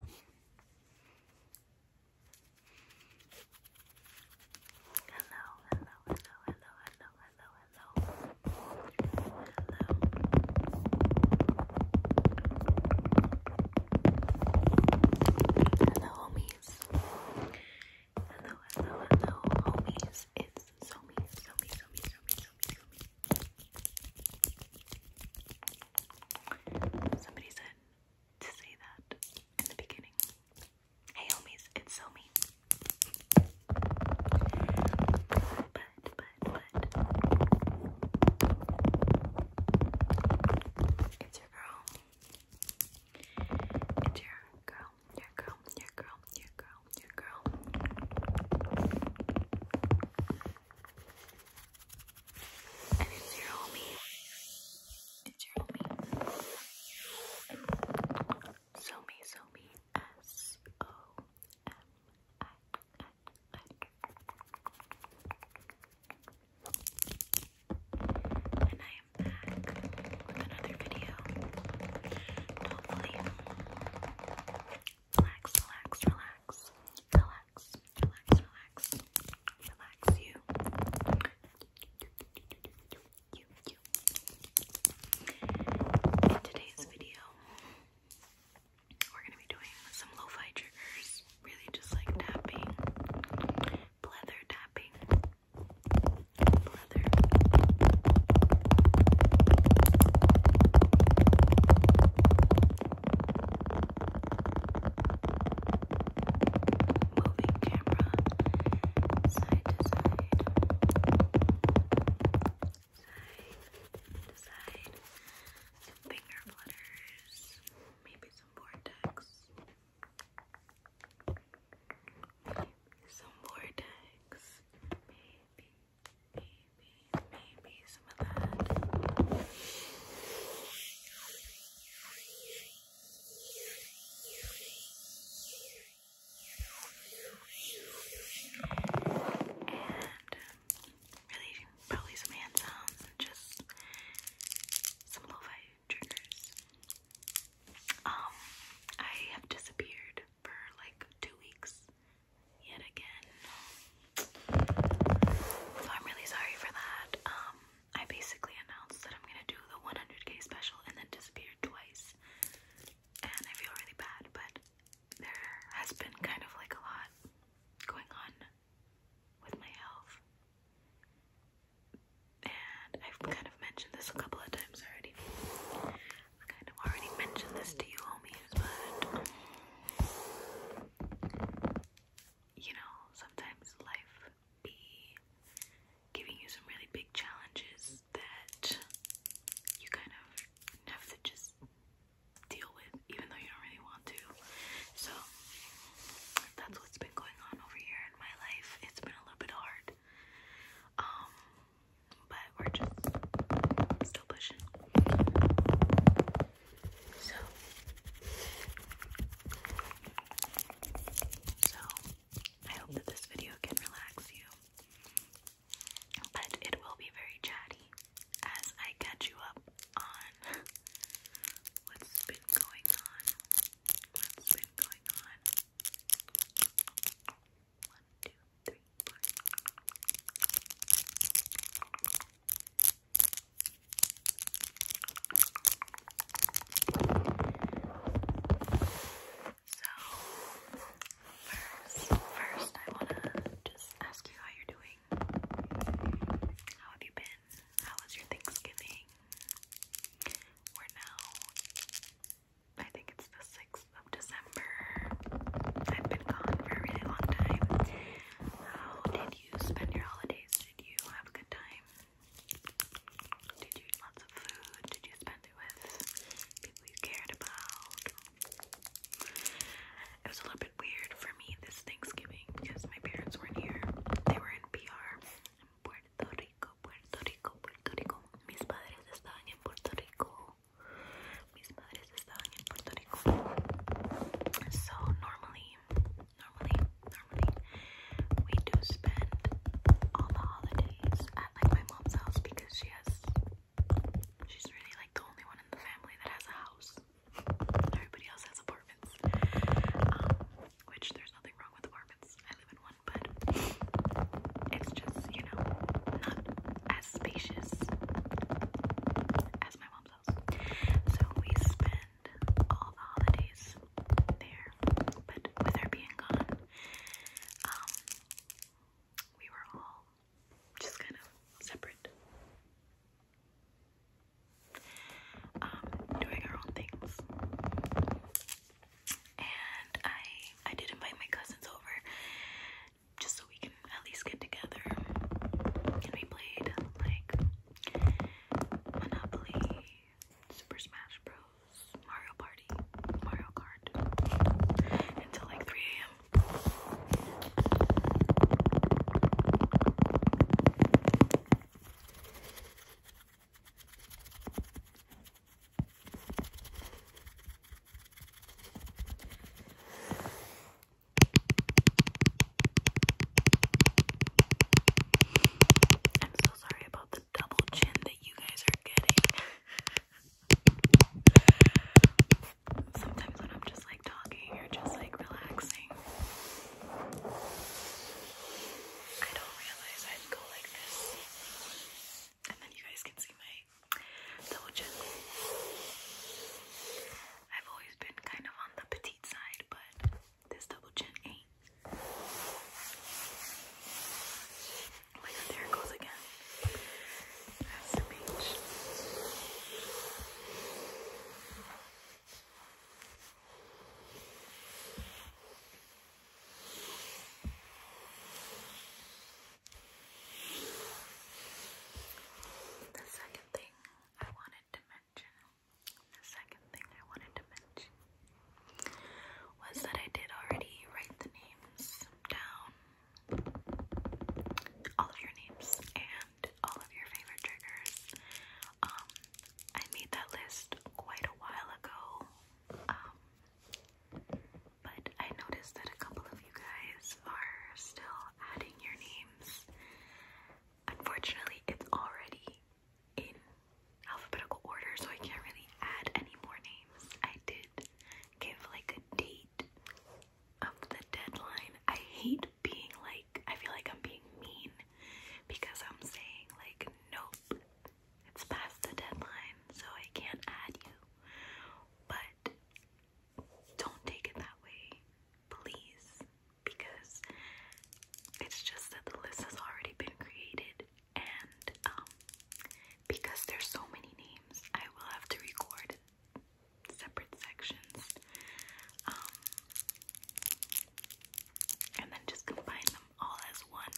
Hello, hello, hello, hello, hello, hello, hello. Hello. homies. Hello, hello, hello, homies. It's Somi, Somi, Somi, Somi, Somi, Somi. Somebody said to say that in the beginning. Hey homies, it's so But, but, but. It's your girl. It's your girl, your girl, your girl, your girl, your girl. And it's your homie. It's your homie. Somi, Somi, S O M I N I. And I am back with another video. Hopefully, relax, relax, relax relax, relax, relax, relax you. In today's video, we're gonna be doing some lo triggers, really just like tapping, pleather tapping, moving camera side to side, side to side, some finger flutters, maybe some vortex, some vortex, maybe, maybe, maybe some of that. And really, probably some hand just some lo-fi triggers. Um, I have disappeared for like two weeks yet again. So I'm really sorry for that. Um, I basically announced that I'm gonna do the 100k special and then disappeared twice, and I feel really bad. But there has been kind of like a lot going on with my health, and I've kind of mentioned this a couple of times already. I kind of already mentioned this to you, homies, but you know, sometimes life be giving you some really big challenges that you kind of have to just deal with, even though you don't really want to. So that's what's been going on over here in my life. It's been a little bit hard. Um, but we're just still pushing. So, I hope that this video can relax you, but it will be very chatty as I catch you up on what's been going on. What's been going on? One, two, three, four first, first I wanna just ask you how you're doing. How have you been? How was your Thanksgiving? We're now, I think it's the 6th of December. I've been gone for a really long time. How did did you spend your holidays? Did you have a good time? Did you eat lots of food? Did you spend it with people you cared about? It was a little bit weird for me this Thanksgiving because my parents weren't here. They were in PR Puerto Rico, Puerto Rico, Puerto Rico. Mis padres estaban en Puerto Rico. So normally, normally, normally, we do spend all the holidays at like my mom's house because she has, she's really like the only one in the family that has a house. Everybody else has apartments, um, which there's nothing wrong with apartments. I live in one, but it's just you know not as spacious as my mom's so we spend all the holidays there, but with her being gone, um, we were all just kind of separate. Um, doing our own things. And I I did invite my cousins over just so we can at least get together. And we played like Monopoly, Super Smash Bros, Mario Party, Mario Kart until like 3 a.m. I'm so sorry about the double chin that you guys are getting. Sometimes when I'm just like talking or just like relaxing, I don't realize i go like this. And then you guys can see my double chin. I've always been kind of on the petite side, but this double chin ain't. there it goes again. The second thing I wanted to mention, the second thing I wanted to mention, was that I did already write the names down, all of your names and all of your favorite triggers. Um, I made that list quite a while ago, um, but I noticed that a couple of you guys are still adding your names. Unfortunately, it's already in alphabetical order, so I can't really add any more names. I did give like a date of the deadline. I hate being like, I feel like I'm being mean because I'm saying, like, nope, it's past the deadline, so I can't add you. But don't take it that way please, because it's just that the list has already been created, and um, because there's so many names, I will have to record separate sections, um, and then just combine them all as one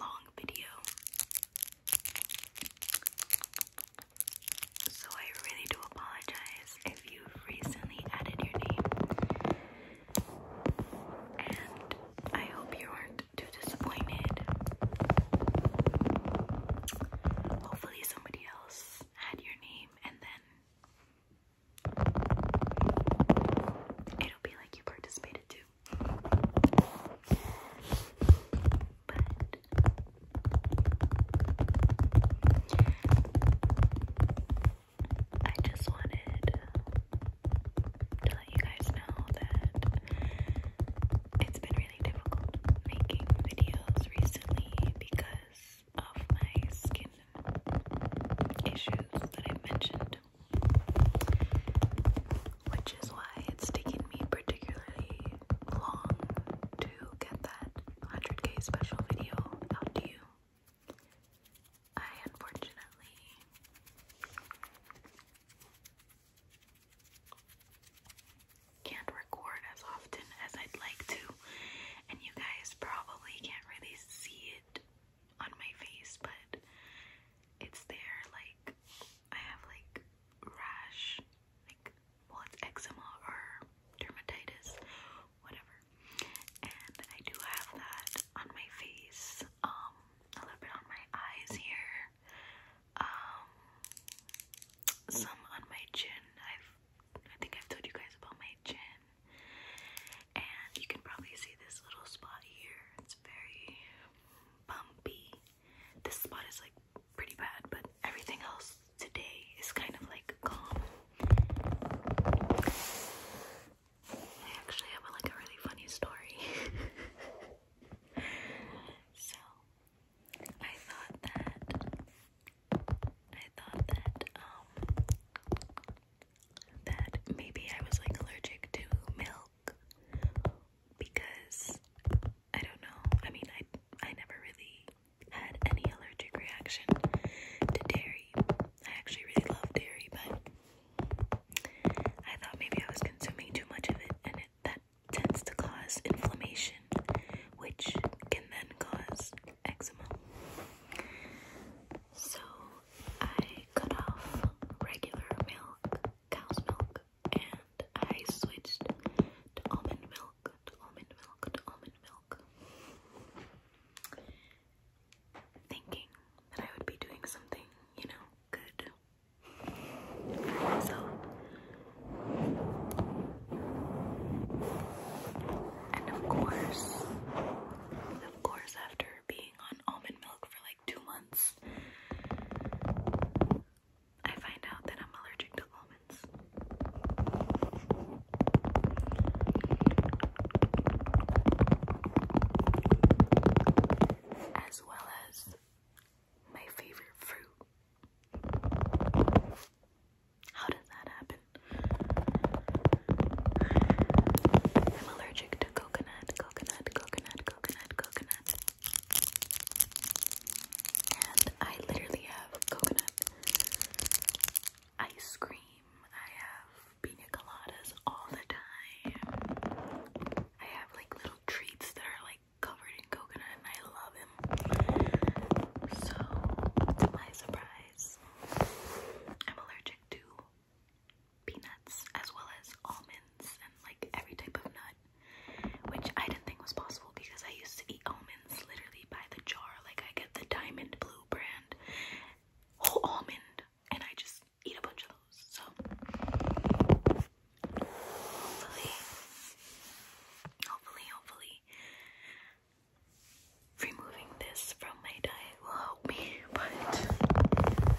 long video. So I really do apologize if you've recently added your name. And I hope you were not too disappointed. Hopefully somebody else had your name and then it'll be like you participated too. But I just wanted to let you guys know that it's been really difficult making videos recently because of my skin issues that i mentioned. Which is why it's taking me particularly long to get that 100k special video out to you. I unfortunately can't record as often as I'd like to, and you guys probably can't really see it on my face, but it's there. Like, I have like rash, like well, it's eczema or dermatitis, whatever. And I do have that on my face, um, a little bit on my eyes here, um, some on my chin. I've, I think I've told you guys about my chin, and you can probably see this little spot here. It's very bumpy. This spot is like pretty bad, but everything else today is kind of like calm. I actually have like a really funny story. so I thought that I thought that um, that maybe I was like allergic to milk because I don't know. I mean, I I never really had any allergic reaction to dairy. I actually really love dairy, but I thought maybe I was consuming too much of it, and it, that tends to cause inflammation, which can then cause eczema. So I cut off regular milk, cow's milk, and I switched to almond milk, almond milk, almond milk. Thinking that I would be doing something, you know, good for myself. And of course, of course, after being on almond milk for like two months, I find out that I'm allergic to almonds. As well as my favorite fruit. How does that happen? I'm allergic to coconut, coconut, coconut, coconut, coconut. And I literally have coconut ice cream. I have pina coladas all the time. I have like little treats that are like covered in coconut and I love them. So, to my surprise, I'm allergic to peanuts as well as almonds and like every type of nut which I didn't think was possible because I used to eat almonds literally by the jar. Like I get the Diamond Blue brand whole almond, and I just eat a bunch of those. So hopefully, hopefully, hopefully, removing this from my diet will help me. But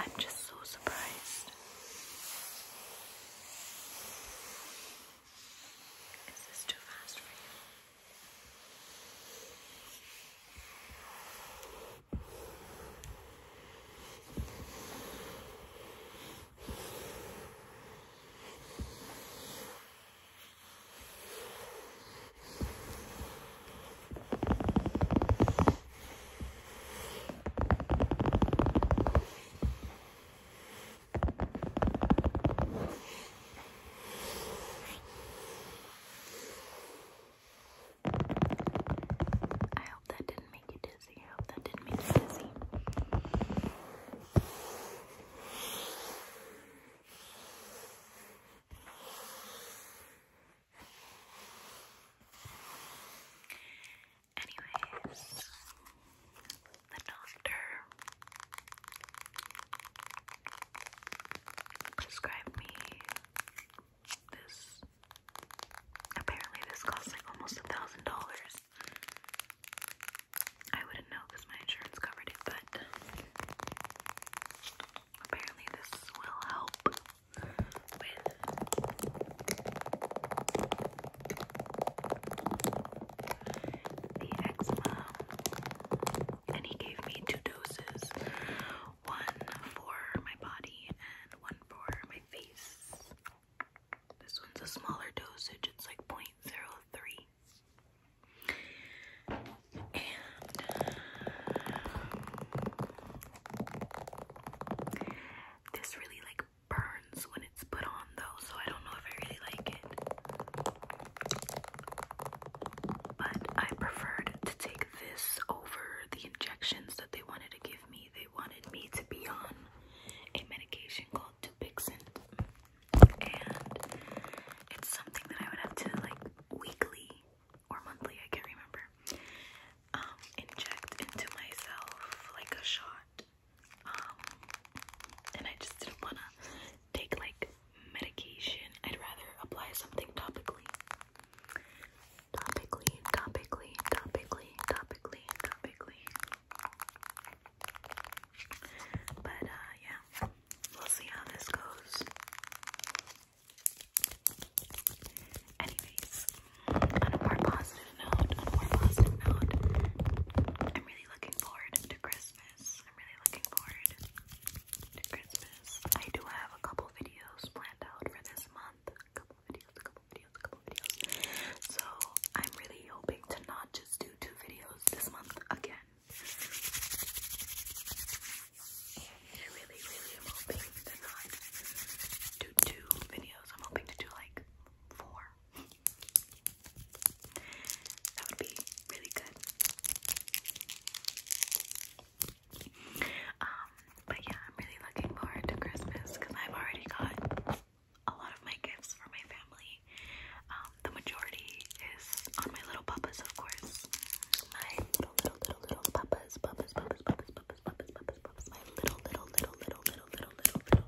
I'm just so surprised. Is this too fast for you? Okay. I hope that didn't make you dizzy. I hope that didn't make you dizzy. Anyways, the doctor prescribed me this. Apparently, this costs like almost a thousand dollars. I wouldn't know because my insurance covered it, but apparently, this will help with the eczema, and he gave me two doses one for my body and one for my face. This one's a smaller dosage, it's like 0.03. And this really like like burns when it's put on though, so I don't know if I really like it. But I preferred to take this over the injections that they wanted to give me. They wanted me to be on a medication called Dupixent, and it's something that I would have to like weekly or monthly, I can't remember, um, inject into myself like a shot. Um, and I just didn't wanna take like medication. I'd rather apply something topically. Topically, topically, topically, topically, topically. But uh, yeah, we'll see how this goes. Anyways, on a more positive note, on a more positive note, I'm really looking forward to Christmas. I'm really looking forward to Christmas. I do have a couple videos planned out for this month. A couple videos, a couple videos, a couple videos. So I'm really hoping to not just do two videos this month again. I really, really hoping to not do two videos. I'm hoping to do like four that would be really good. Um, but yeah, I'm really looking forward to Christmas because I've already got a lot of my gifts for my family. Um, the majority is on my little puppas, of course. My little, little, little, little puppas, puppas, puppas, puppas, puppas, puppas, puppas, puppas, my little, little, little, little, little, little, little, little,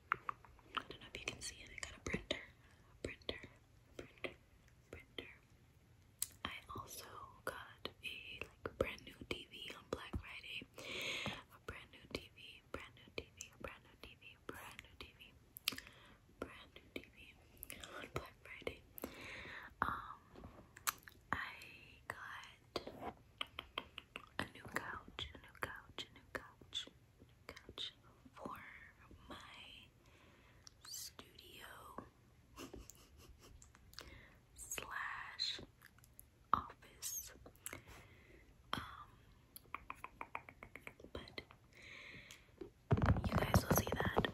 I don't know if you can see it. I got a printer, printer, printer, printer. I also got a like brand new TV on Black Friday. A brand new TV, brand new TV, brand new TV, brand new TV, brand new TV on Black Friday. Um, I got a new couch, a new couch, a new couch, couch for my studio slash office. Um, but you guys will see that.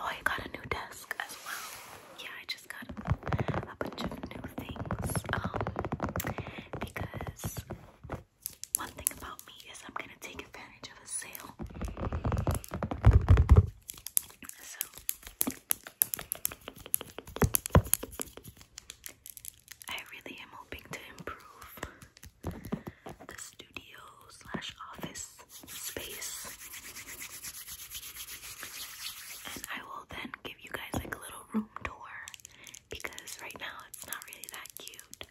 Oh, I got a new desk as well. Yeah, I just got a bunch of new things. Um, because one thing about me is I'm gonna take advantage of a sale. So I really am hoping to improve the studio slash office space. And I will then give you guys like a little room tour because right now it's not really that cute.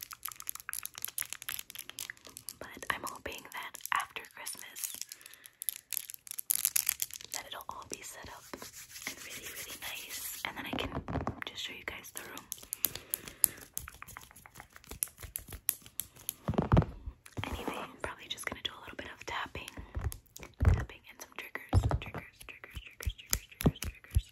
But I'm hoping that after Christmas that it'll all be set up and really, really nice. And then I can just show you guys the room. Anyway, probably just gonna do a little bit of tapping, tapping, and some triggers, triggers, triggers, triggers, triggers, triggers, triggers.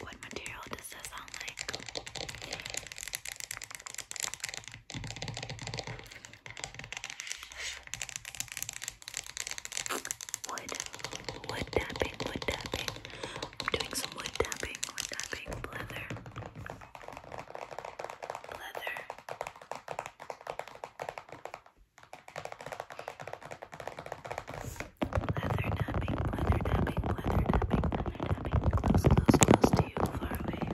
What material does this sound like? Wood, wood tapping, wood tapping. I'm doing some wood tapping, wood tapping, leather, leather, Leather tapping, leather tapping, leather tapping, leather tapping. Close, close, close to you, far away.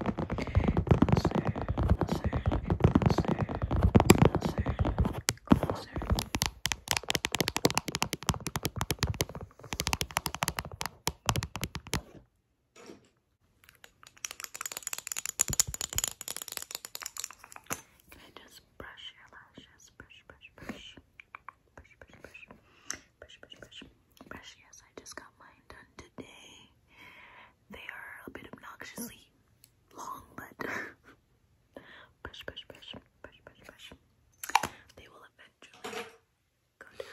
Closer, closer, closer, closer, closer. Can I just brush your lashes? yes, brush, brush, brush. Brush, brush, brush. Brush, brush, brush. Brush, yes, I just got mine done today. They are a bit obnoxiously long, but brush, brush, brush, brush, brush, brush. They will eventually go down.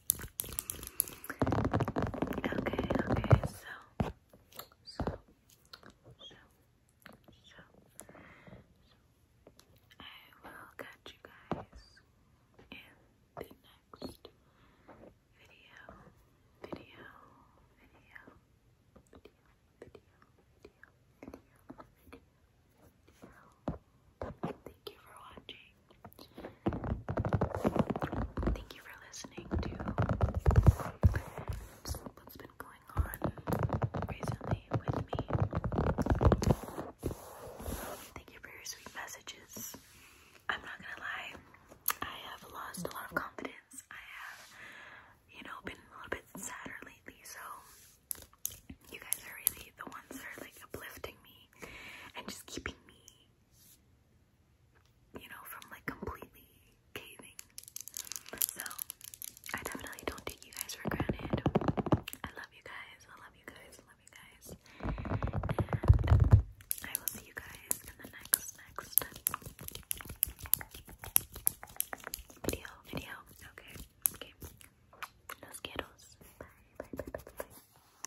Okay, okay, so, so, so, so, I will catch you guys in the next video, video, video, video, video, video, video, video. Thank you for watching. Thank you for listening to what's been going on recently with me. Thank you for your sweet messages. I'm not gonna lie, I have lost a lot of confidence. I have, you know, been a little bit sadder lately, so you guys are really the ones that are like uplifting me and just keeping me you know, from like completely caving. So I definitely don't take you guys for granted. I love you guys. I love you guys. I love you guys. And I will see you guys in the next next video. Video. Okay. Okay. Los quiero. Bye. Bye. Bye. Bye. bye.